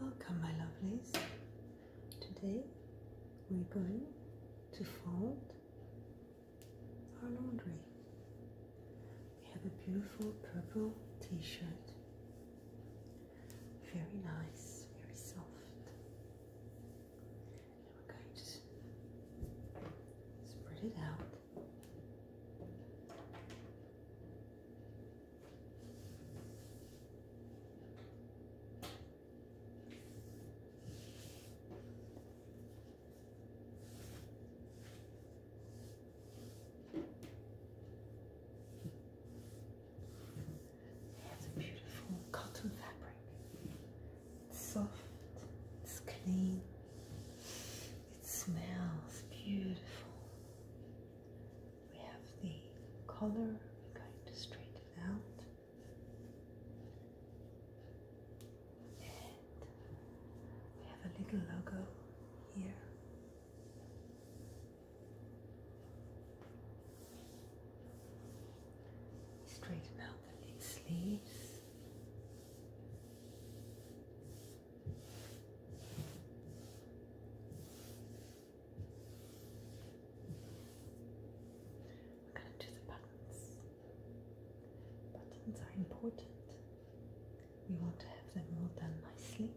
Welcome, my lovelies. Today we're going to fold our laundry. We have a beautiful purple t shirt, very nice, very soft. And we're going to spread it out. It's a beautiful cotton fabric. It's soft, it's clean, it smells beautiful. We have the collar we're going to straighten out. we have a little logo here. Straighten out the sleeves we to the buttons. Buttons are important. We want to have them all done nicely.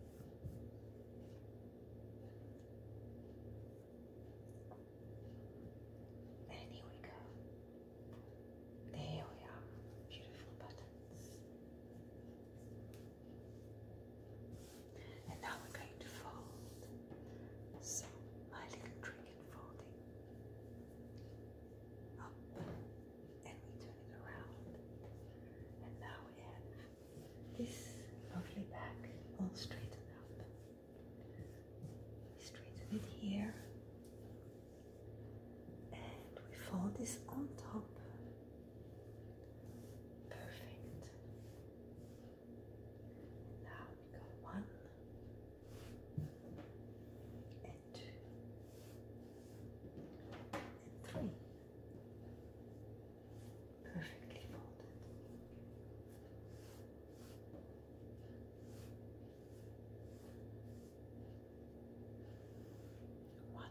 And here we go. There we are. Beautiful buttons. And now we're going to fold. So, my little trick folding. Up and we turn it around. And now we have this lovely back all straightened up. We straighten it here and we fold this on top. Perfect. Now we got one and two and three. Perfectly folded. One.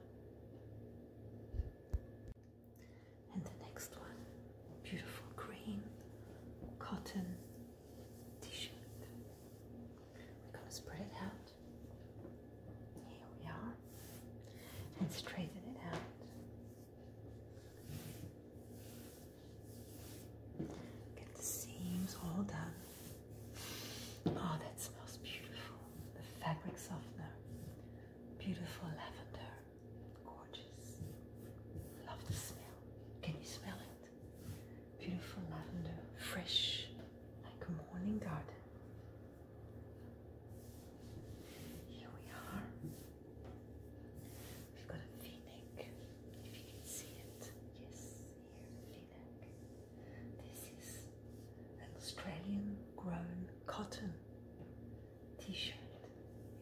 And the next one, beautiful green cotton t shirt. We're going to spread it out. Here we are. And straighten it out. Get the seams all done. Oh, that smells beautiful. The fabric softener. Beautiful lavender. Gorgeous. Love the smell. Can you smell it? Beautiful lavender. Fresh. Like a morning garden. Here we are. We've got a v neck. If you can see it. Yes. This is an Australian grown cotton t-shirt.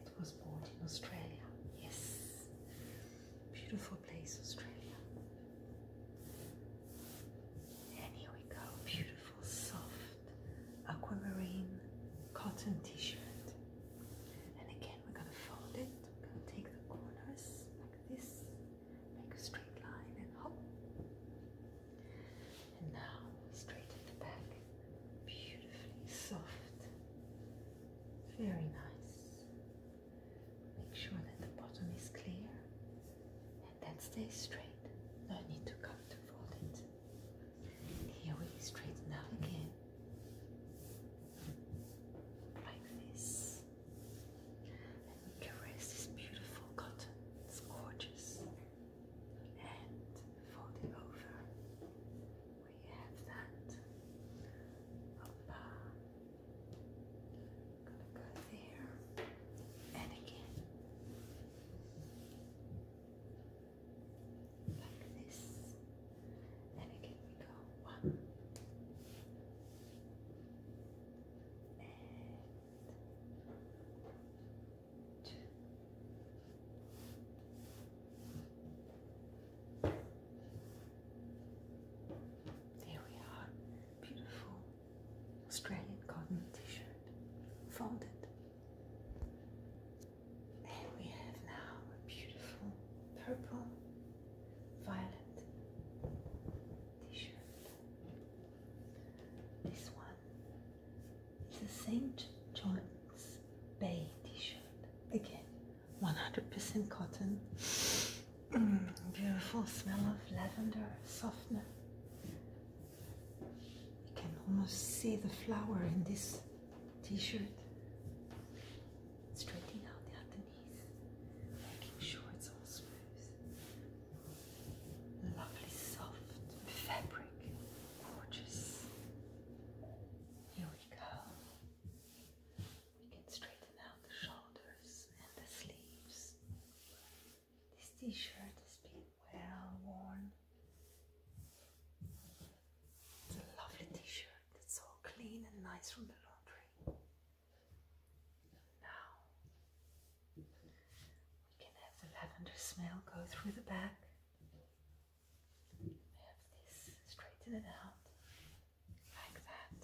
It was bought in Australia. Yes. Beautiful place, Australia. And here we go. Beautiful, soft, aquamarine cotton t-shirt. And again, we're going to fold it. We're going to take the corners this. Make a straight line and hop. And now straight at the back. Beautifully soft. Very nice. Make sure that the bottom is clear and then stay straight. No need to come to fold it. Here we straighten out again. Like this. And you can raise this beautiful cotton, it's gorgeous. And folding over, we have that. Opa. Uh, gonna go there and again. Like this. And again we go one. And two. There we are. Beautiful Australian cotton t-shirt. Folded. And we have now a beautiful purple violet t-shirt. This one is a St. John's Bay t-shirt. Again, 100% cotton. Mm, beautiful smell of lavender softener. You can almost see the flower in this t-shirt straightening out the underneath, making sure it's all smooth. Lovely soft fabric, gorgeous. Here we go. We can straighten out the shoulders and the sleeves. This t-shirt has been well worn. It's a lovely t-shirt that's all clean and nice from the laundry. Now we can have the lavender smell go through the back. have this straighten it out like that.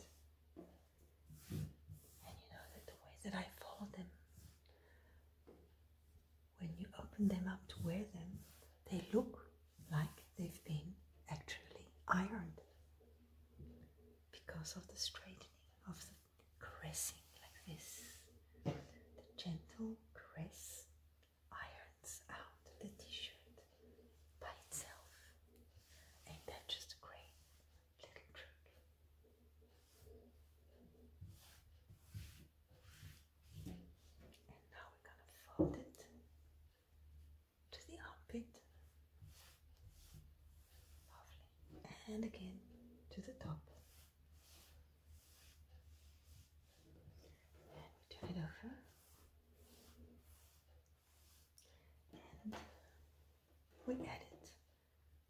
And you know that the way that I fold them, when you open them up to wear them, they look like they've been actually ironed because of the straightening of the pressing, like this. The gentle press irons out the t-shirt by itself. Ain't that just a great little trick? And now we're going to fold it to the armpit. Lovely. And again to the top. And we turn it over. And we add it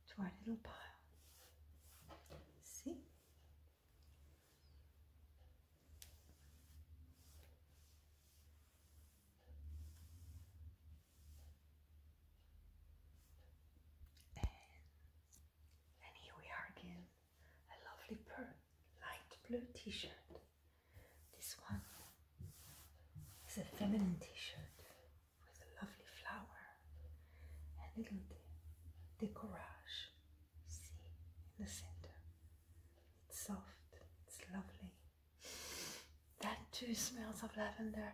to our little pile. See? And, here we are again, a lovely pearl, light blue t-shirt. This one is a feminine t-shirt with a lovely flower and little de See in the center. It's soft, it's lovely. That too smells of lavender,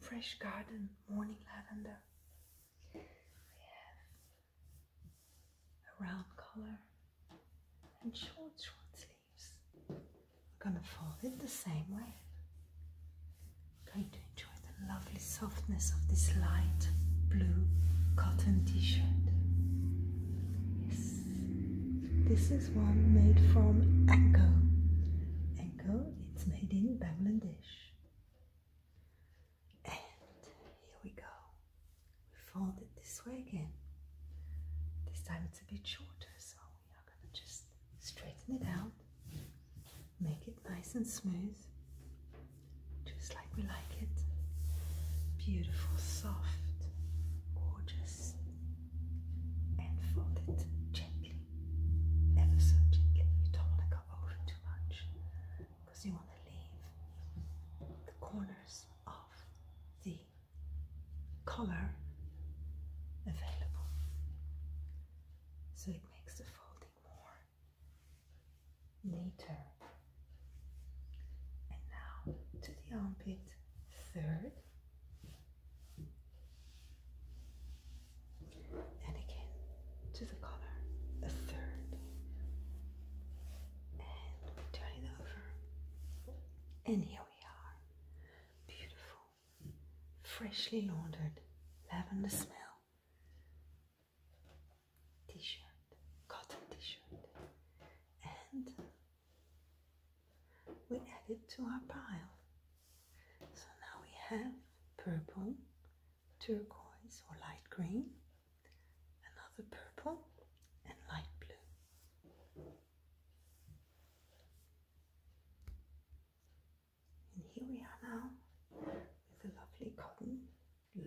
fresh garden, morning lavender. We a round collar and short, short sleeves. We're gonna fold it the same way. I'm going the lovely softness of this light blue cotton t-shirt. Yes, this is one made from Anko. Anko, it's made in Bangladesh. And here we go. We fold it this way again. This time it's a bit shorter, so we are going to just straighten it out, make it nice and smooth, just like we like it. Beautiful, soft, gorgeous, and fold it gently, ever so gently. You don't want to go over too much because you want to leave the corners of the collar available so it makes the folding more later. And now to the armpit, third. And again to the collar, a third. And turn it over. And here we are. Beautiful, freshly laundered lavender smell t-shirt, cotton t-shirt, and we add it to our pile. So now we have purple, turquoise or light green, another purple and light blue. And here we are now with a lovely cotton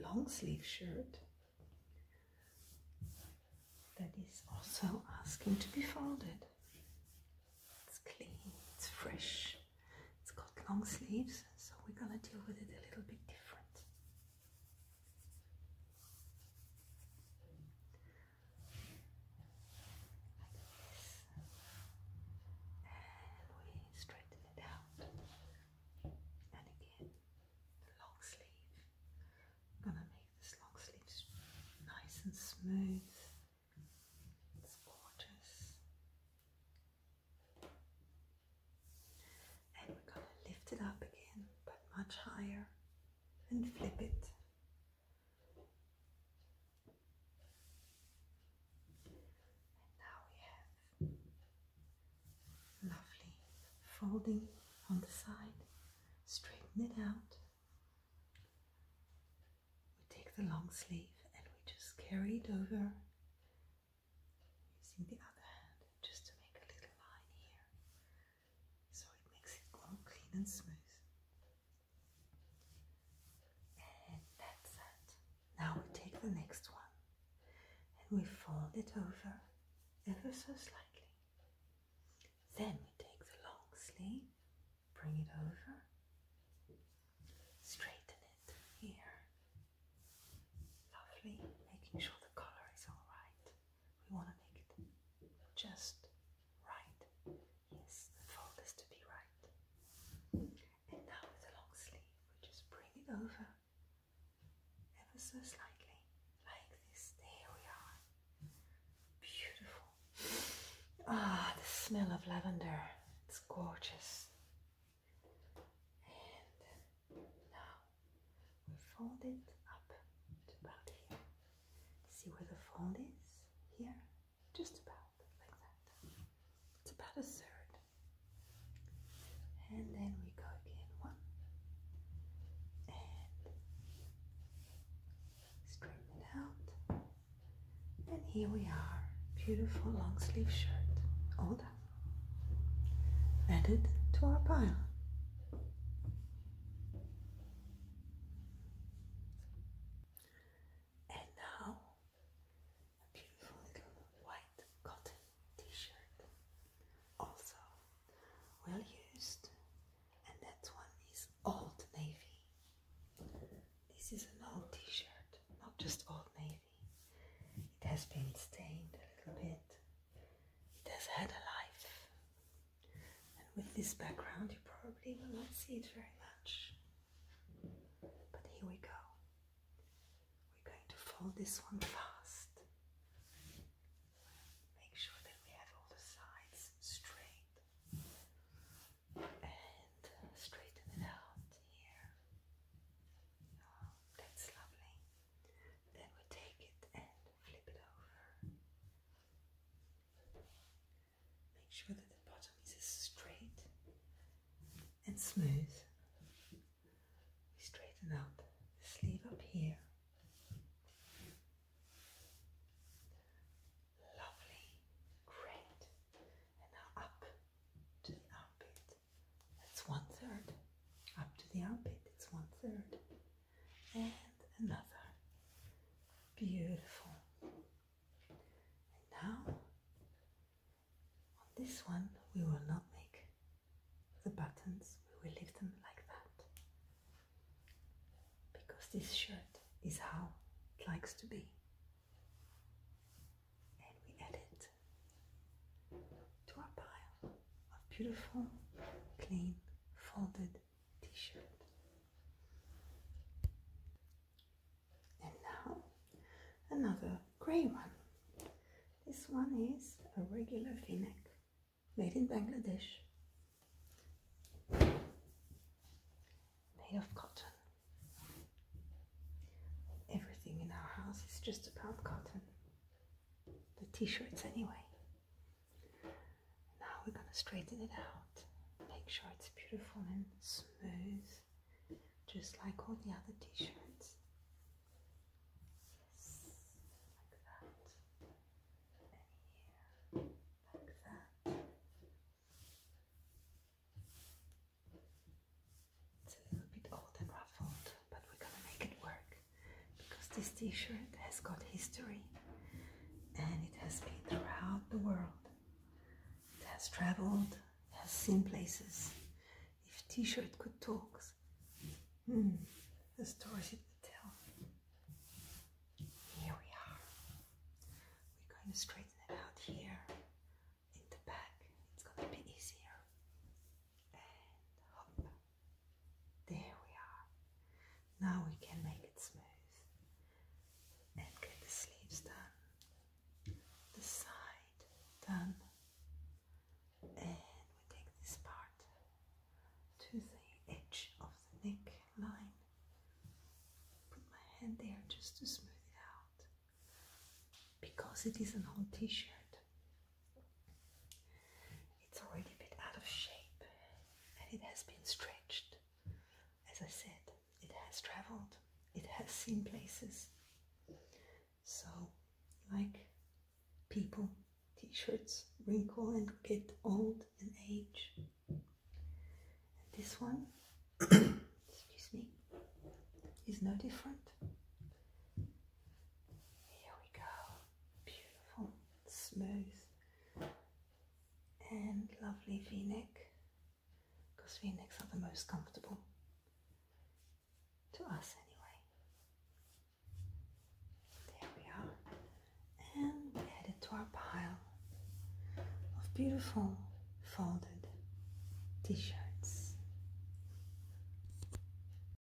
long sleeve shirt that is also asking to be folded. It's clean, it's fresh, it's got long sleeves, so we're gonna deal with it a little bit different. Like this. And we straighten it out. And again, the long sleeve. going to make this long sleeve nice and smooth. It's gorgeous. And we're going to lift it up again, but much higher, and flip it. And now we have lovely folding on the side. Straighten it out. We take the long sleeve and we just carry it over using the other hand just to make a little line here so it makes it all clean and smooth. And that's it. Now we take the next one and we fold it over ever so slightly. Then we take the long sleeve, bring it over, straighten it here. Lovely, making sure the color is alright. We want to make it just right. Yes, the fold to be right. And now with the long sleeve, we just bring it over ever so slightly, like this. There we are. Beautiful. Ah, the smell of lavender. It's gorgeous. And now we fold it up to about here. See where the fold is? Here just about like that. It's about a third. And then we go again one and straighten it out. And here we are, beautiful long sleeve shirt, all done, added to our pile. And now, a beautiful little white cotton t-shirt, also well used, and that one is Old Navy. This is an old t-shirt, not just Old Navy. It has been stained a little bit. It has had a life. And with this background, you probably will not see it very much. But here we go. We're going to fold this one fast. Make sure that we have all the sides straight. And straighten it out here. Oh, that's lovely. Then we take it and flip it over. Make sure that the bottom is straight and smooth. We straighten out the sleeve up here. Lovely, great. And now up to the armpit. That's one third. Up to the armpit, That's one third and another. Beautiful. now, on this one, we will not make the buttons, we will leave them like that. Because this shirt is how it likes to be. And we add it to our pile of beautiful, clean, folded t-shirt. And now another grey one. This one is a regular v-neck made in Bangladesh, made of cotton. Everything in our house is just about cotton, the t-shirts anyway. Now we're going to straighten it out. Make sure it's beautiful and smooth, just like all the other t-shirts. like that. like that. It's a little bit old and ruffled, but we're going to make it work because this t-shirt has got history and it has been throughout the world. It has traveled, has seen places. If t-shirt could talk, hmm, the stories it would tell. Here we are. We're going to straighten it out here in the back. It's going to be easier. And hop. There we are. Now we can make it smooth and get the sleeves done, the side done, and we take this part to the edge of the neck line. Put my hand there just to smooth it out because it is an old t-shirt. It's already a bit out of shape and it has been stretched. As I said, it has traveled, it has seen places. So, like people, t shirts wrinkle and get old and age. And this one, excuse me, is no different. Here we go. Beautiful, smooth, and lovely v neck because v necks are the most comfortable to us, anyway. There we are, and we're headed to our pile of beautiful folded t shirts.